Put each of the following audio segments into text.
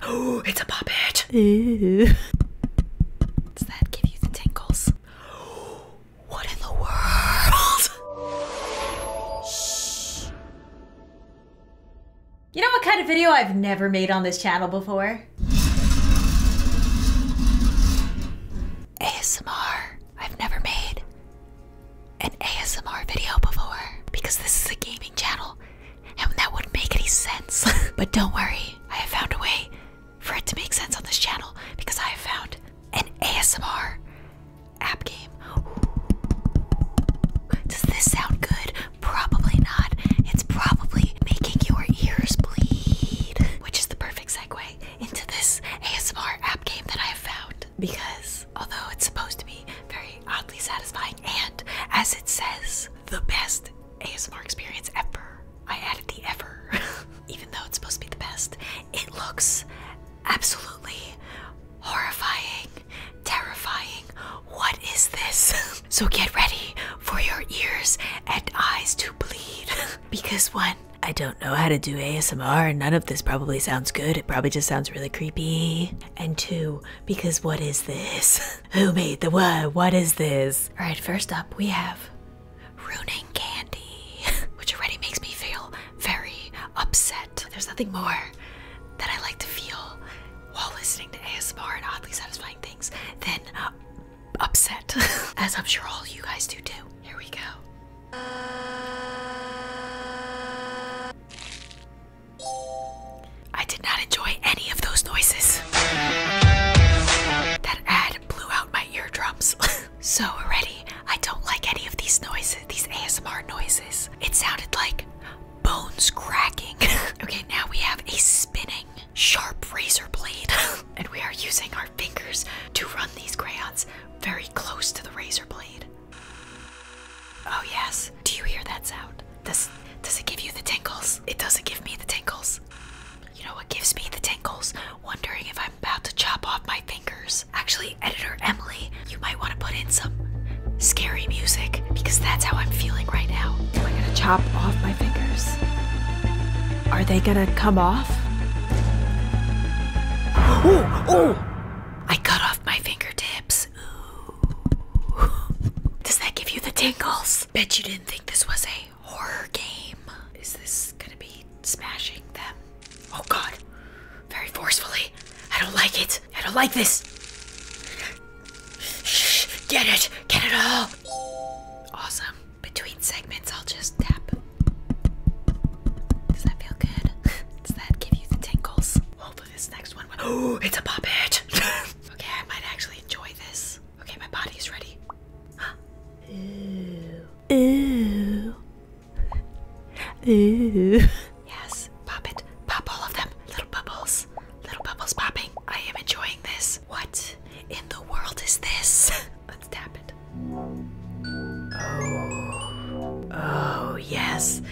Oh, it's a puppet. Does that give you the tingles? What in the world? Shh. You know what kind of video I've never made on this channel before? ASMR. I've never made an ASMR video before because this is a gaming channel and that wouldn't make any sense. but don't worry, I have found a way for it to make sense on this channel because I have found an ASMR app game. Does this sound good? Probably not. It's probably making your ears bleed, which is the perfect segue into this ASMR app game that I have found because although it's supposed to be very oddly satisfying, and as it says, the best ASMR experience ever. I added the ever, even though it's supposed to be the best. It looks absolutely horrifying, terrifying. What is this? so get ready for your ears and eyes to bleed. because one, I don't know how to do ASMR, and none of this probably sounds good. It probably just sounds really creepy. And two, because what is this? Who made the what? What is this? All right, first up we have ruining candy, which already makes me feel very upset. There's nothing more that I like to feel while listening to ASMR and oddly satisfying things than uh, upset, as I'm sure all you guys do too. Here we go. I did not enjoy any of those noises. That ad blew out my eardrums. so already, I don't like any of these noises, these ASMR noises. It sounded like bones cracking. okay, now we have a spinning sharp razor blade, and we are using our fingers to run these crayons very close to the razor blade. Oh yes. Do you hear that sound? Does does it give you the tingles? It doesn't give me the tingles. You know what gives me the tingles? Wondering if I'm about to chop off my fingers. Actually, editor Emily, you might want to put in some scary music because that's how I'm feeling right now. Am I gonna chop off my fingers? Are they gonna come off? Oh, oh! I cut off my fingertips. Does that give you the tingles? Bet you didn't think this was a horror game. Is this gonna be smashing them? Oh god. Very forcefully. I don't like it. I don't like this. Shh. Get it. Get it all. Awesome. Between segments, I'll just tap. Does that feel good? Does that give you the tingles? Oh, hopefully oh, this next one. Oh, it's a puppet. okay, I might actually enjoy this. Okay, my body is ready. Huh? Ooh. Ooh. Ooh. Yes, pop it. Pop all of them. Little bubbles. Little bubbles popping. I am enjoying this. What in the world is this? Let's tap it. Oh. Oh, yes.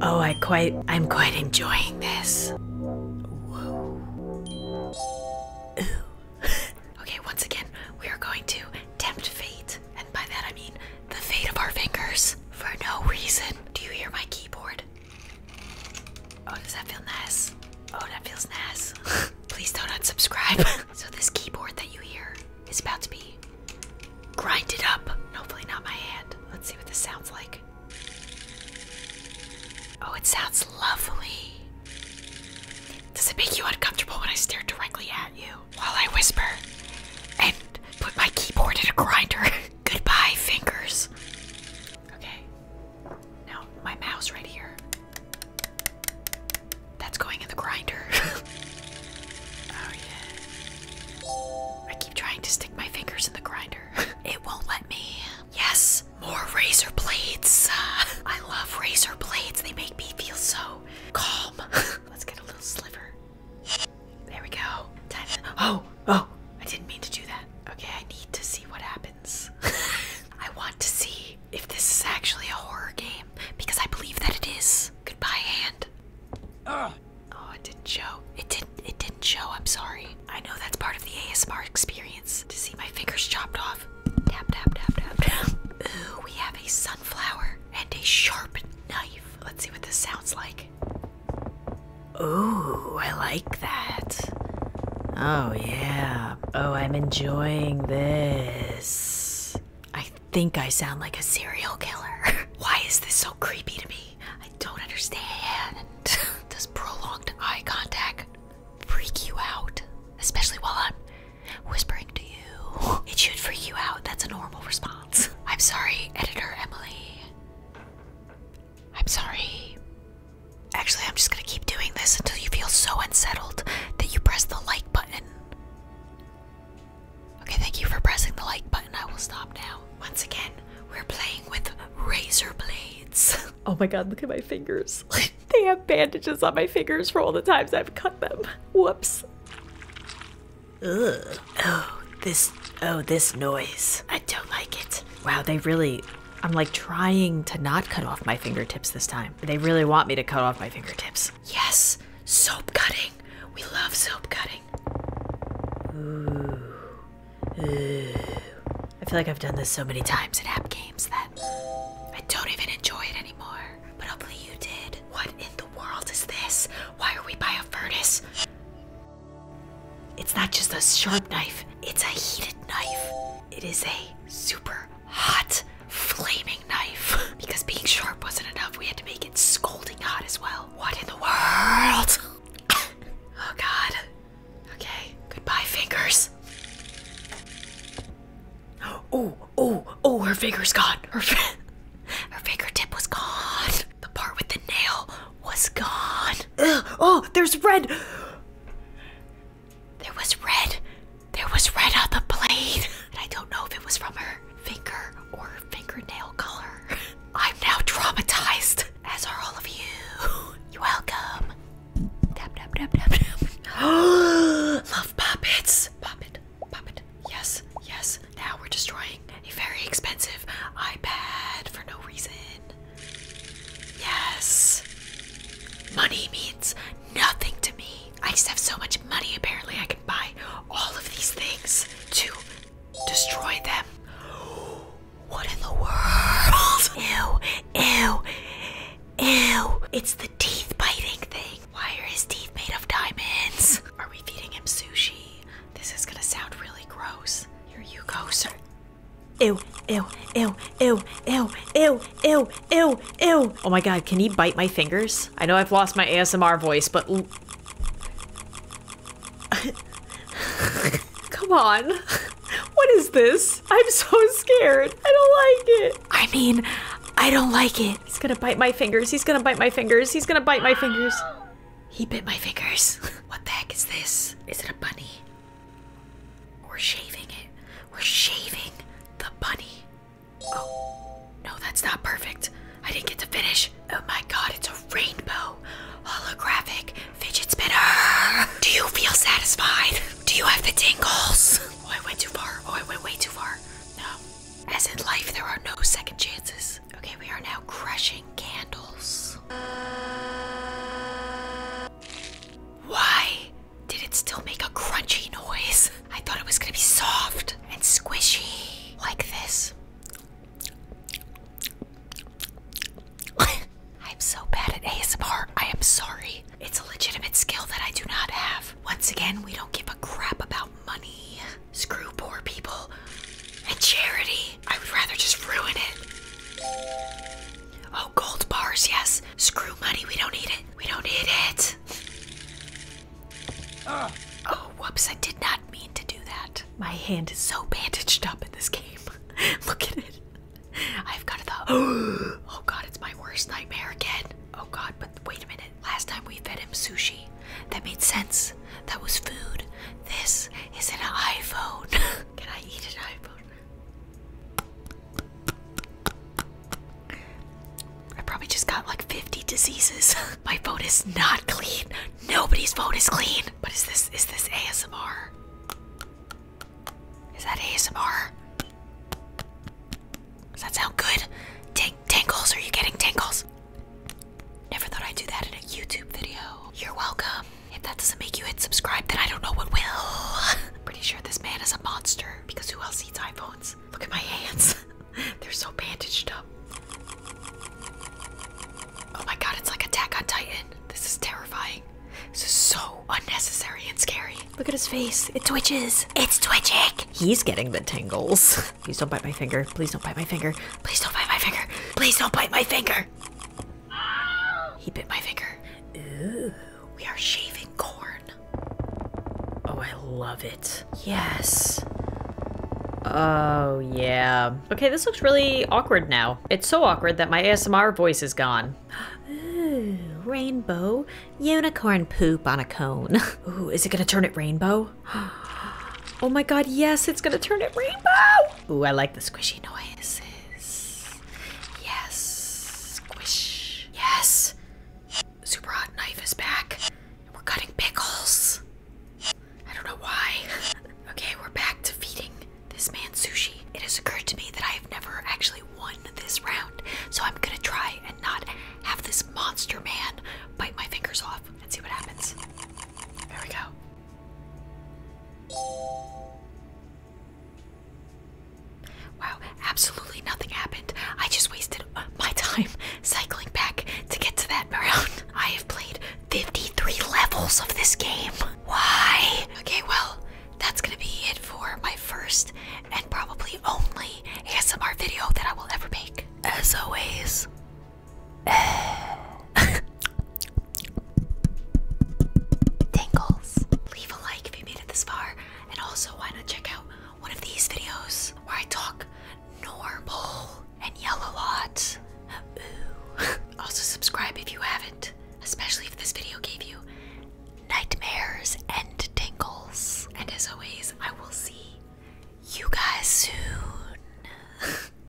Oh, I quite I'm quite enjoying this. Whoa. okay, once again, we are going to tempt fate. And by that I mean the fate of our fingers. For no reason. Do you hear my keyboard? Oh, does that feel nice? Oh, that feels nice. Please don't unsubscribe. so this keyboard that you hear is about to be grinded up. Hopefully, not my hand. Let's see what this sounds like. Oh, it sounds lovely. Does it make you uncomfortable when I stare directly at you while I whisper and put my keyboard in a grinder? Goodbye, fingers. Okay. Now, my mouse right here. That's going in the grinder. oh yeah. I keep trying to stick my fingers in the grinder. it won't let me. Yes, more razor blades. I love razor blades. They make me feel so calm. Let's get a little sliver. There we go. Oh, oh. I didn't mean to do that. Okay, I need to see what happens. I want to see if this is actually a horror game because I believe that it is. Goodbye, land? Oh, it didn't show. It didn't. It didn't show. I'm sorry. I know that's part of the ASMR experience to see my fingers chopped off. tap tap tap tap. Ooh, we have a sunflower and a sharp knife. Let's see what this sounds like. Ooh, I like that. Oh yeah. Oh, I'm enjoying this. I think I sound like a serial killer. Why is this so creepy to me? I don't understand. Does prolonged eye contact freak you out? Especially while I'm whispering to you. It should freak you out. That's a normal response. I'm sorry, editor Emily. I'm sorry. Actually, I'm just gonna keep doing this until you feel so unsettled that you press the like button. Okay, thank you for pressing the like button. I will stop now. Once again, we're playing with razor blades. Oh my god, look at my fingers. they have bandages on my fingers for all the times I've cut them. Whoops. Oh, this oh, this noise. I don't like it. Wow, they really I'm like trying to not cut off my fingertips this time. They really want me to cut off my fingertips. Yes, soap cutting. We love soap cutting. I feel like I've done this so many times in app games that I don't even enjoy it anymore. But hopefully you did. What in the world is this? Why are we by a furnace? It's not just a sharp knife, it's a heated knife. It is a super hot flaming knife because being sharp wasn't enough. We had to make it scolding hot as well. What in the world? oh god. Okay. Goodbye, fingers. Oh, oh, oh, her finger's gone. Her, fi her fingertip was gone. The part with the nail was gone. Ugh, oh, there's red. There was red. There was red on the blade. I don't know if it was from her finger or fingernail color. I'm now traumatized, as are all of you. You're welcome. Tap, tap, tap, tap, tap. Love puppets. Puppet, puppet. Yes, yes. Now we're destroying a very expensive iPad for no reason. Yes. Money means nothing to me. I just have so much money, apparently, I can buy all of these things to destroy them. What in the world? Ew, ew, ew. It's the teeth biting thing. Why are his teeth made of diamonds? Are we feeding him sushi? This is gonna sound really gross. Here you go, sir. Ew, ew, ew, ew, ew, ew, ew, Ew! Ew! Oh my god, can he bite my fingers? I know I've lost my ASMR voice, but... Come on. What is this? I'm so scared. I don't like it. I mean, I don't like it. He's gonna bite my fingers. He's gonna bite my fingers. He's gonna bite my fingers. He bit my fingers. what the heck is this? Is it a bunny? We're shaving it. We're shaving the bunny. Oh, no, that's not perfect. I didn't get to finish. Oh my god, it's a rainbow holographic fidget spinner. Do you feel satisfied? Do you have the tingles? Oh, I went too far. Oh, I went way too far. No. As in life, there are no second chances. Okay, we are now crushing candles. Why did it still make a crunchy noise? I thought it was gonna be soft and squishy like this. I'm so bad at ASMR. I am sorry. It's a legitimate skill that I do not have. Once again, we don't give a crap about money. Screw poor people and charity. I would rather just ruin it. Oh, gold bars, yes. Screw money, we don't need it. We don't need it. Oh, whoops, I did not mean to do that. My hand is so bandaged up in this game. Look at it. I've got the. Oh, God, it's my worst nightmare again. Oh, God, but wait a minute. Last time we fed him sushi. That made sense. That was food. This is an iPhone. Can I eat an iPhone? I probably just got like 50 diseases. My phone is not clean. Nobody's phone is clean. But is this is this ASMR? Is that ASMR? Does that sound good? Tang tangles, are you getting tangles? Never thought I'd do that in a YouTube video. You're welcome. If that doesn't make you hit subscribe, then I don't know what will. Pretty sure this man is a monster because who else eats iPhones? Look at my hands. They're so bandaged up. Oh my god, it's like Attack on Titan. This is terrifying. This is so unnecessary and scary. Look at his face. It twitches. It's twitching. He's getting the tangles. Please don't bite my finger. Please don't bite my finger. Please don't bite my finger. Please don't bite my finger. He bit my finger. Ooh. We are shaving corn. Oh, I love it. Yes. Oh, yeah. Okay, this looks really awkward now. It's so awkward that my ASMR voice is gone. Ooh, rainbow. Unicorn poop on a cone. Ooh, is it gonna turn it rainbow? Oh my god, yes, it's gonna turn it rainbow! Ooh, I like the squishy noises. Yes. Squish. Yes. Super hot knife is back. and We're cutting pickles. I don't know why. okay, we're back to feeding this man sushi. It has occurred to me that I have never actually won this round, so I'm gonna try and not have this monster man bite my fingers off and see what happens. There we go. Wow, absolutely nothing happened. I just wasted uh, my time cycling back to get to that round. I have played 53 levels of this game. Why? Okay, well, that's gonna be it for my first and probably only ASMR video that I will ever make. As always, Tangles. Leave a like if you made it this far, and also why not check out one of these videos where I talk normal and yell a lot. also subscribe if you haven't, especially if this video gave you nightmares and tingles. And as always, I will see you guys soon.